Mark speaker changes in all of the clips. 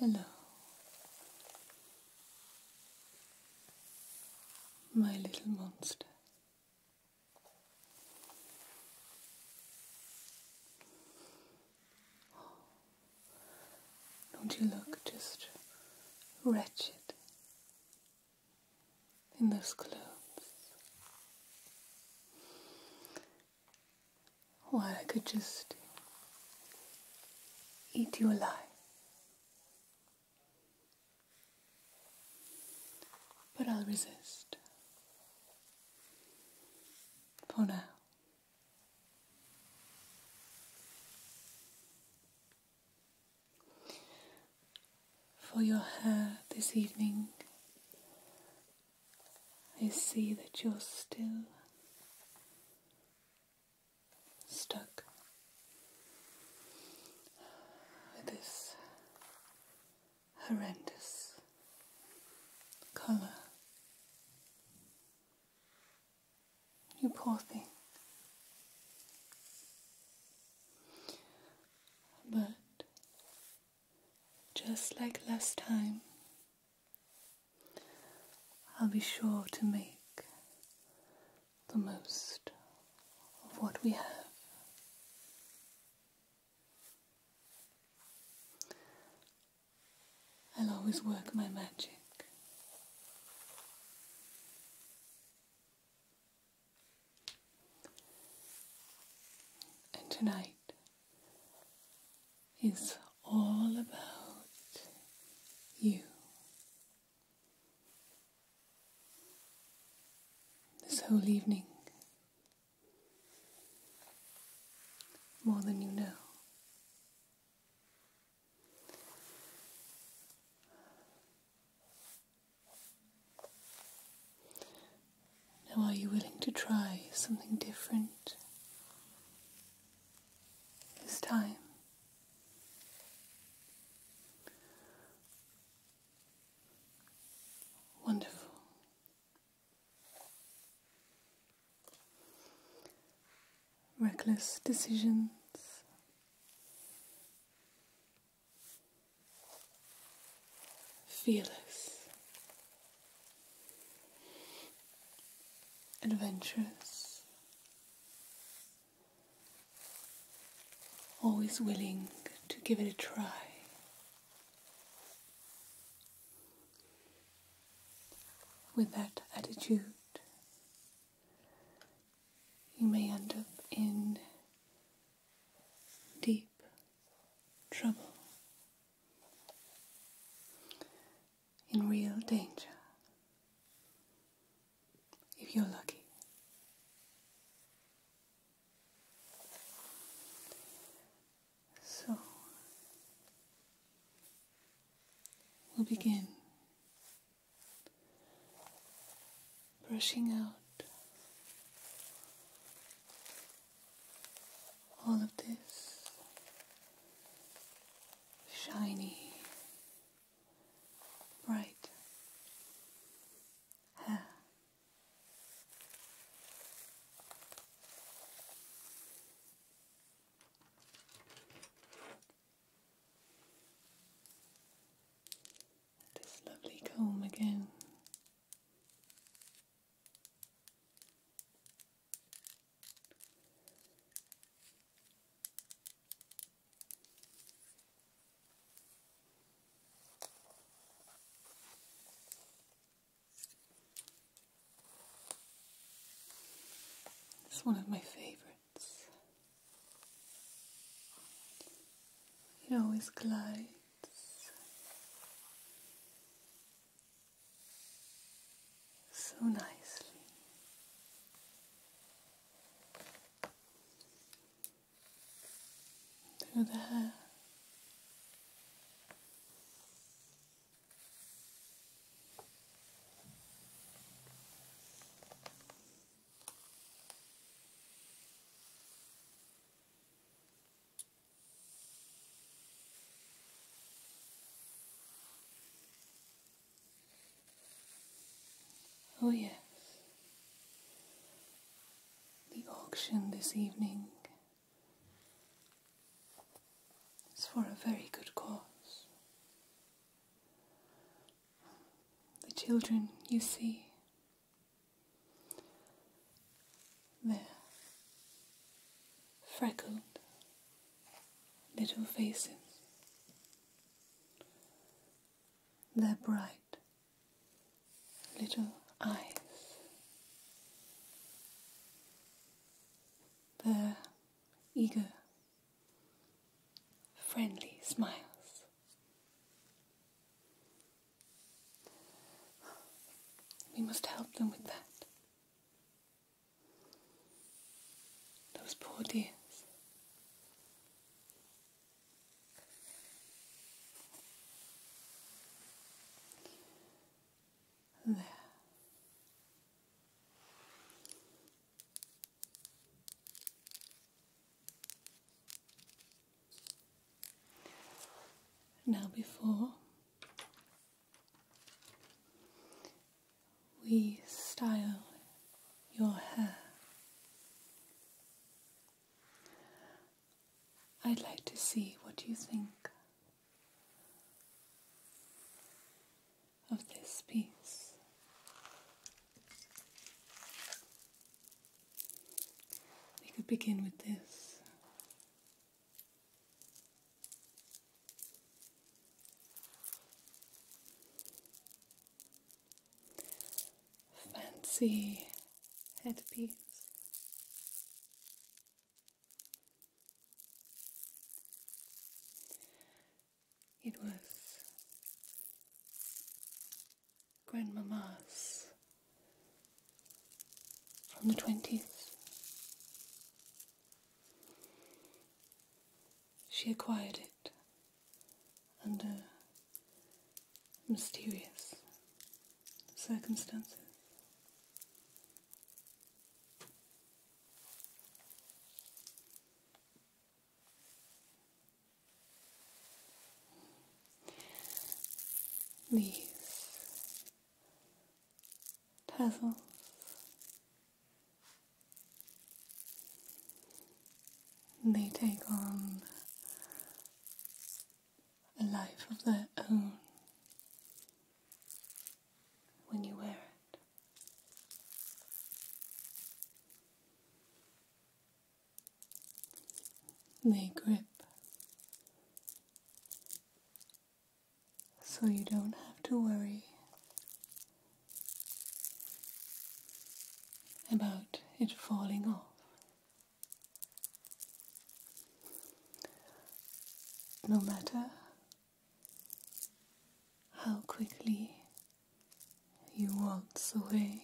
Speaker 1: Hello, my little monster. Don't you look just wretched in those clothes? Why, I could just eat you alive. But I'll resist. For now. For your hair this evening, I see that you're still stuck with this horrendous colour. You poor thing. But just like last time, I'll be sure to make the most of what we have. I'll always work my magic. And tonight is all about you. This whole evening more than you know. Now, are you willing to try something different this time? Wonderful reckless decisions. Fearless, adventurous, always willing to give it a try, with that attitude, you may end up in deep trouble, in real danger, if you're lucky. So we'll begin brushing out all of this shiny, bright hair. This lovely comb again. It's one of my favorites. It always glides. So nicely. Through the hair Oh, yes. The auction this evening it's for a very good cause. The children you see there, freckled little faces. Their bright little eyes their eager, friendly smiles. We must help them with that. Those poor dears. Now, before we style your hair, I'd like to see what you think of this piece. We could begin with this. Fancy headpiece. It was Grandmama's from the 20s. She acquired it under mysterious circumstances. These tassels they take on a life of their own when you wear it. They grip so you don't have to worry about it falling off. No matter how quickly you waltz away,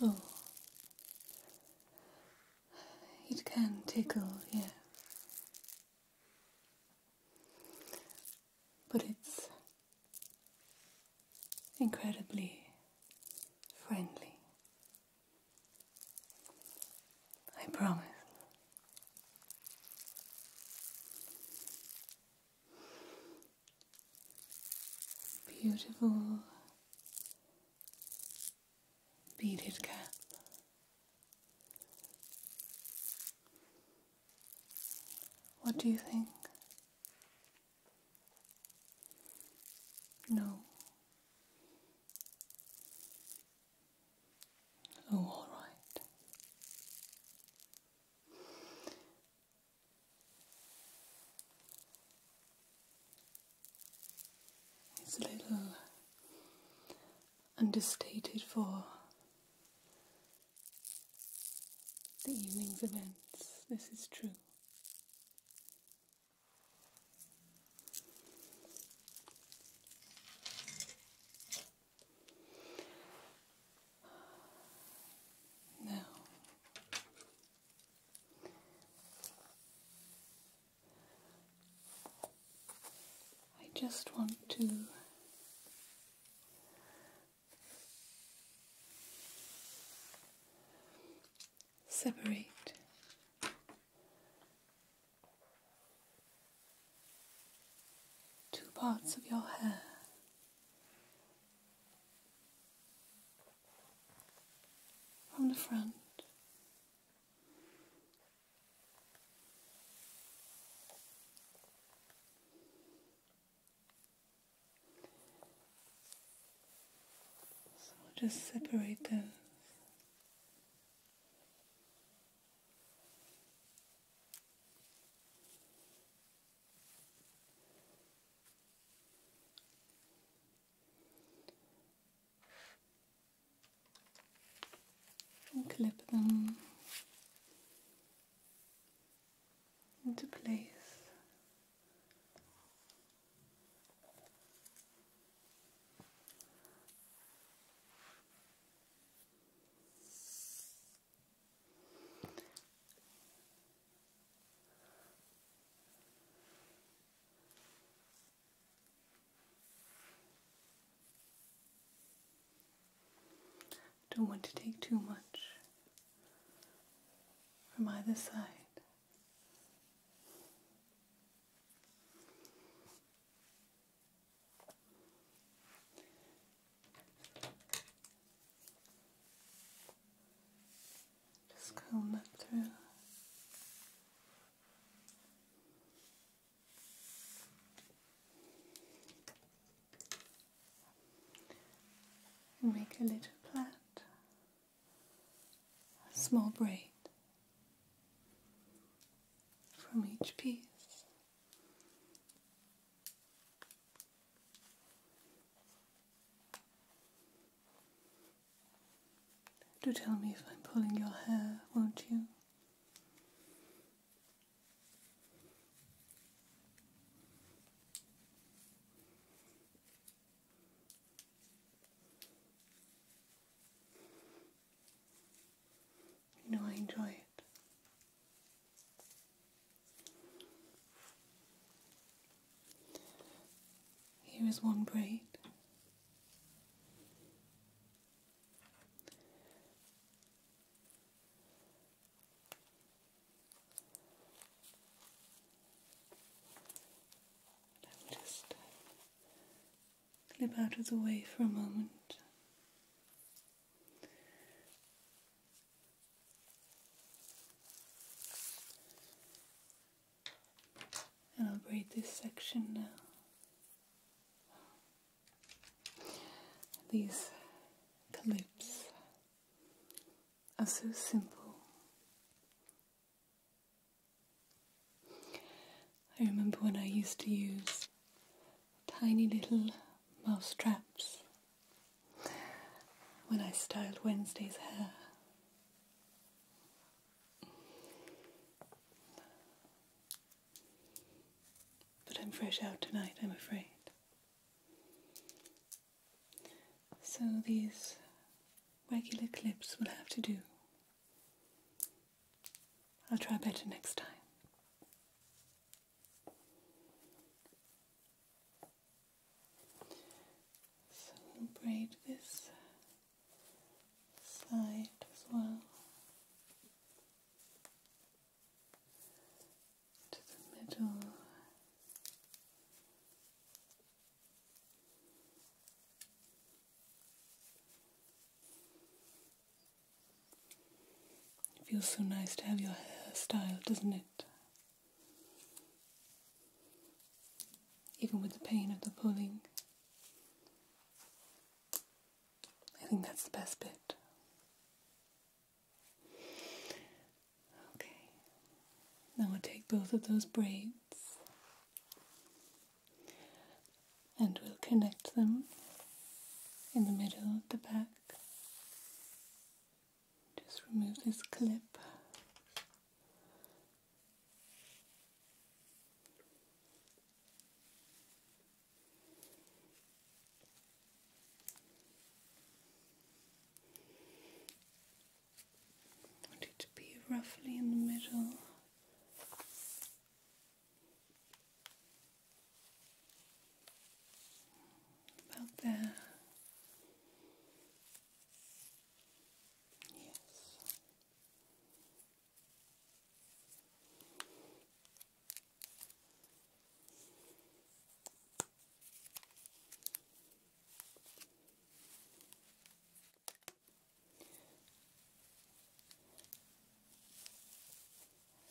Speaker 1: oh, it can tickle, yeah but it's incredibly friendly. I promise. Beautiful beaded cap. What do you think? No. Oh, all right. It's a little understated for the evening's events. This is true. Now, I just want to Separate. Two parts of your hair. From the front so we'll just separate those and clip them into place. Don't want to take too much from either side. Just comb that through. And make a little plait, a small braid from each piece. Do tell me if I'm pulling your hair, won't you? You know, I enjoy it. Here is one braid. I will just clip uh, out of the way for a moment. And I'll braid this section now. These clips are so simple. I remember when I used to use tiny little mouse traps when I styled Wednesday's hair. But I'm fresh out tonight, I'm afraid. So these regular clips will have to do. I'll try better next time. So braid this side as well to the middle. feels so nice to have your hair styled, doesn't it? Even with the pain of the pulling, I think that's the best bit. Okay. Now we'll take both of those braids and we'll connect them in the middle of the back. Just remove this clip to be roughly in the middle. About there. Yes.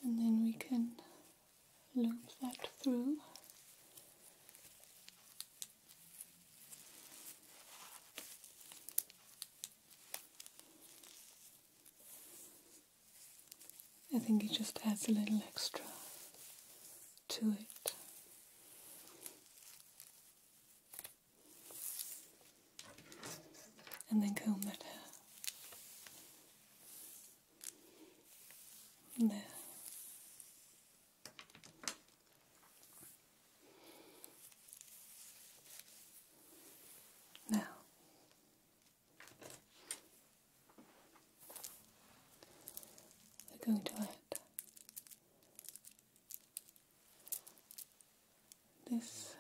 Speaker 1: And then we can loop that through. I think it just adds a little extra to it. And then comb that hair. There. Now, we're going to add this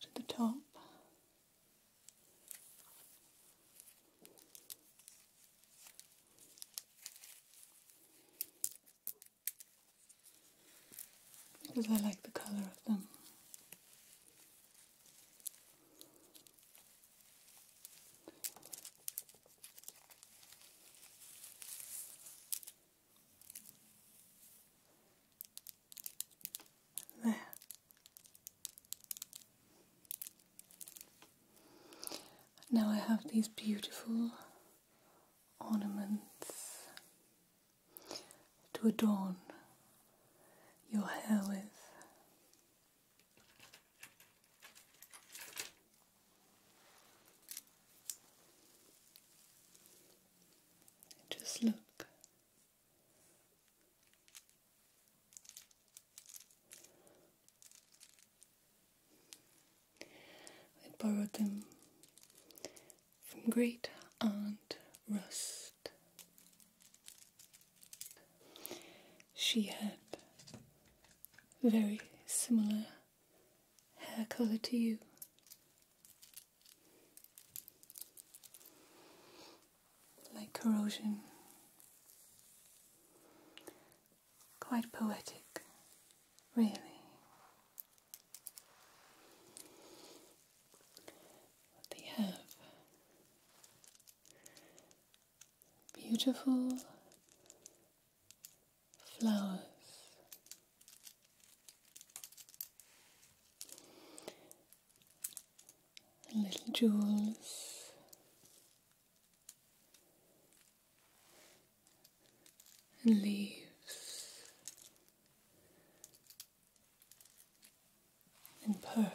Speaker 1: to the top because I like the color of them. There. Now I have these beautiful ornaments to adorn your hair with. Just look. I borrowed them from great aunt Rust. She had very similar hair colour to you. Like corrosion. Quite poetic, really. They have beautiful flowers. Little jewels and leaves and pearls.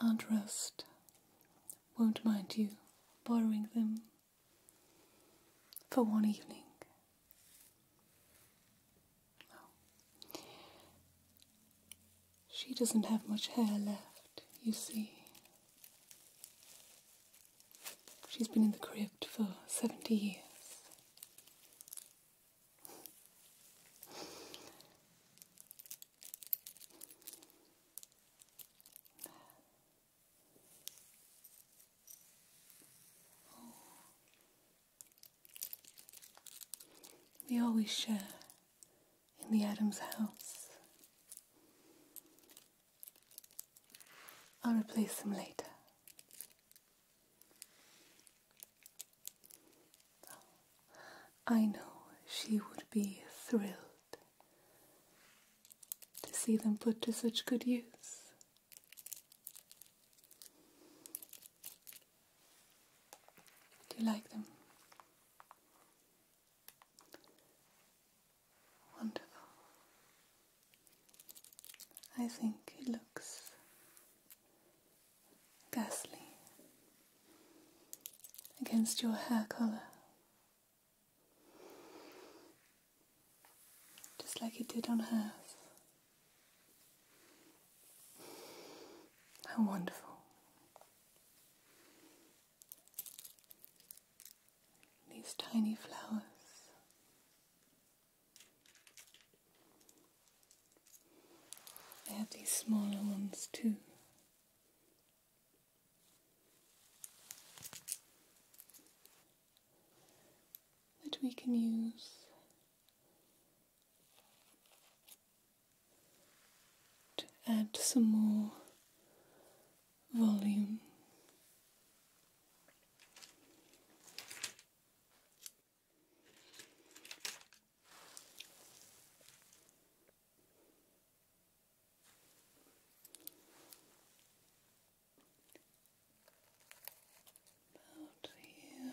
Speaker 1: And rust won't mind you borrowing them for one evening. She doesn't have much hair left, you see. She's been in the crypt for 70 years we always share in the Adams house. I'll replace them later. I know she would be thrilled to see them put to such good use. Do you like them? Wonderful. I think it looks ghastly against your hair color. Just like it did on hers. How wonderful. These tiny flowers. I have these smaller ones too. That we can use to add some more volume. About here.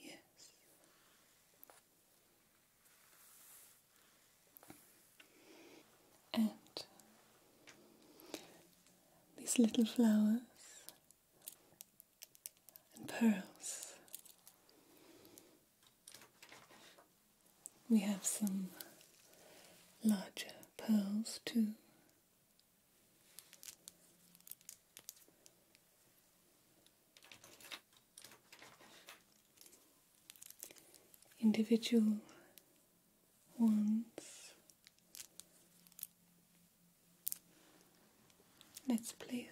Speaker 1: Yes. And these little flowers and pearls. We have some larger pearls too individual ones. Let's place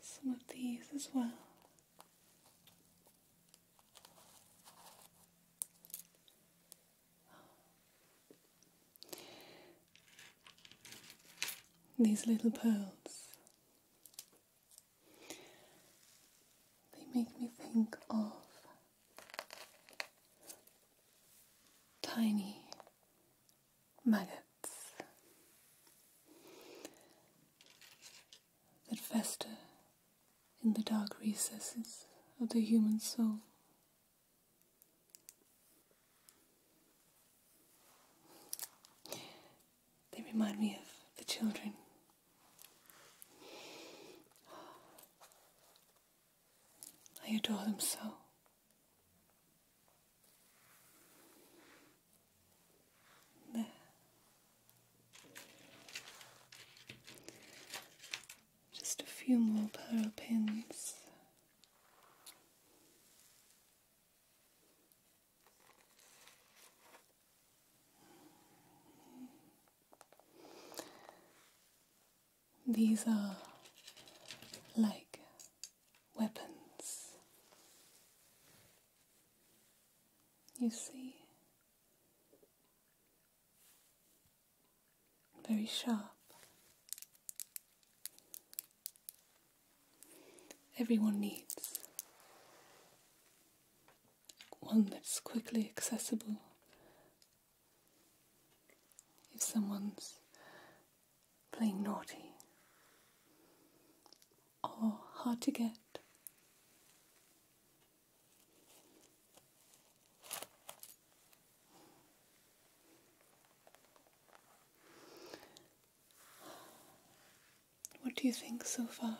Speaker 1: some of these as well. These little pearls, they make me think of tiny maggots that fester in the dark recesses of the human soul. They remind me of the children. I adore them so. There. Just a few more pearl pins. These are like weapons. You see, very sharp. Everyone needs one that's quickly accessible. If someone's playing naughty or hard to get, what do you think so far?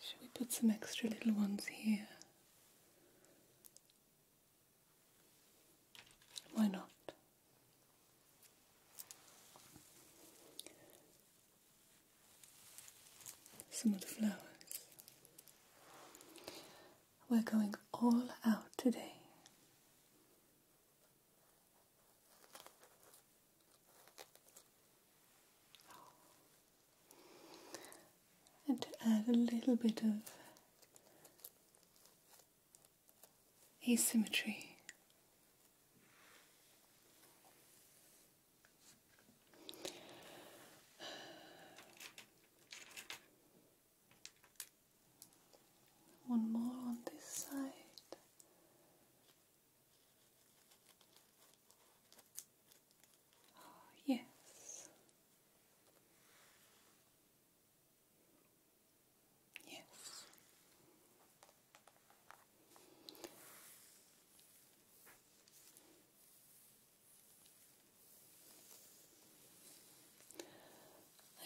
Speaker 1: Should we put some extra little ones here? Why not? some of the flowers. We're going all out today. And to add a little bit of asymmetry one more on this side. Oh, yes. Yes.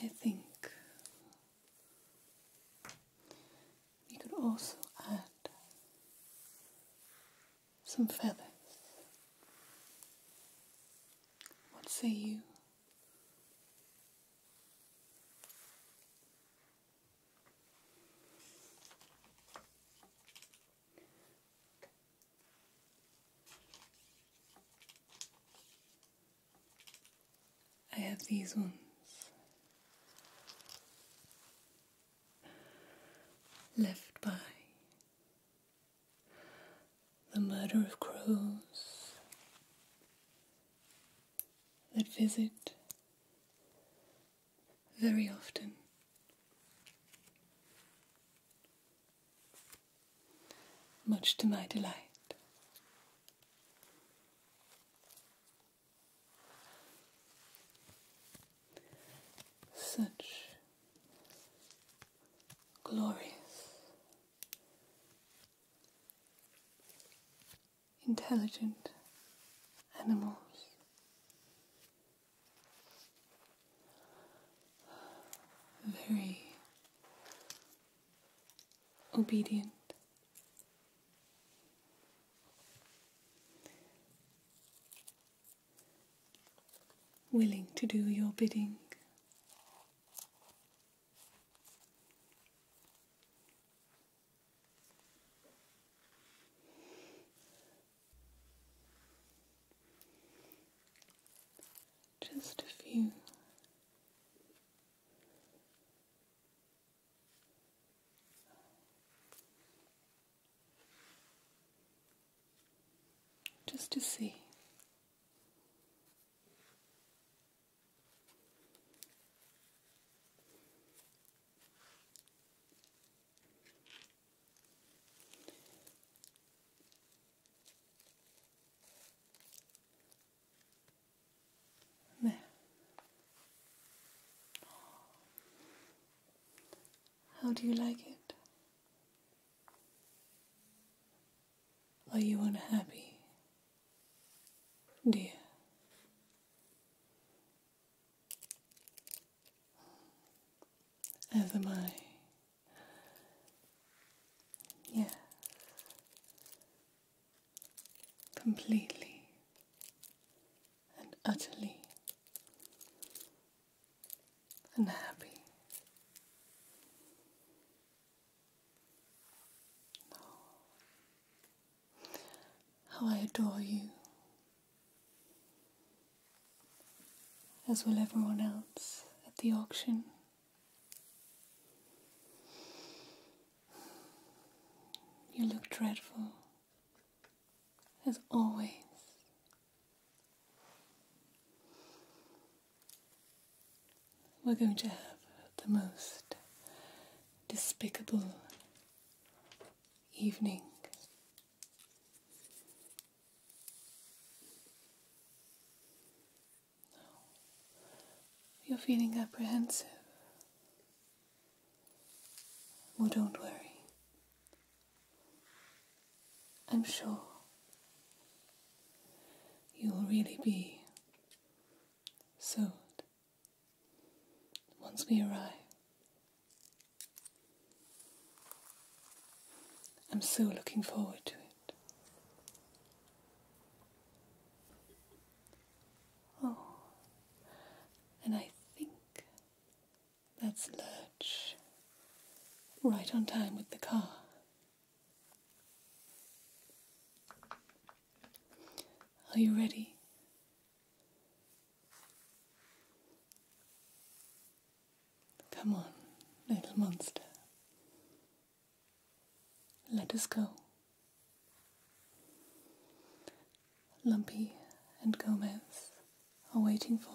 Speaker 1: I think we could also add some feathers. What say you? I have these ones. Left by the murder of crows that visit very often. Much to my delight. Such glorious intelligent animals. Very obedient. Willing to do your bidding. Just a few. Just to see how do you like it? Are you unhappy, dear? As am I. yeah, Completely and utterly and happy. No how I adore you, as will everyone else at the auction. You look dreadful, as always we're going to have the most despicable evening. You're feeling apprehensive. Well, don't worry. I'm sure you'll really be soothed once we arrive. I'm so looking forward to it. Oh, and I think that's Lurch, right on time with the car. Are you ready? Come on, little monster. Let us go. Lumpy and Gomez are waiting for us.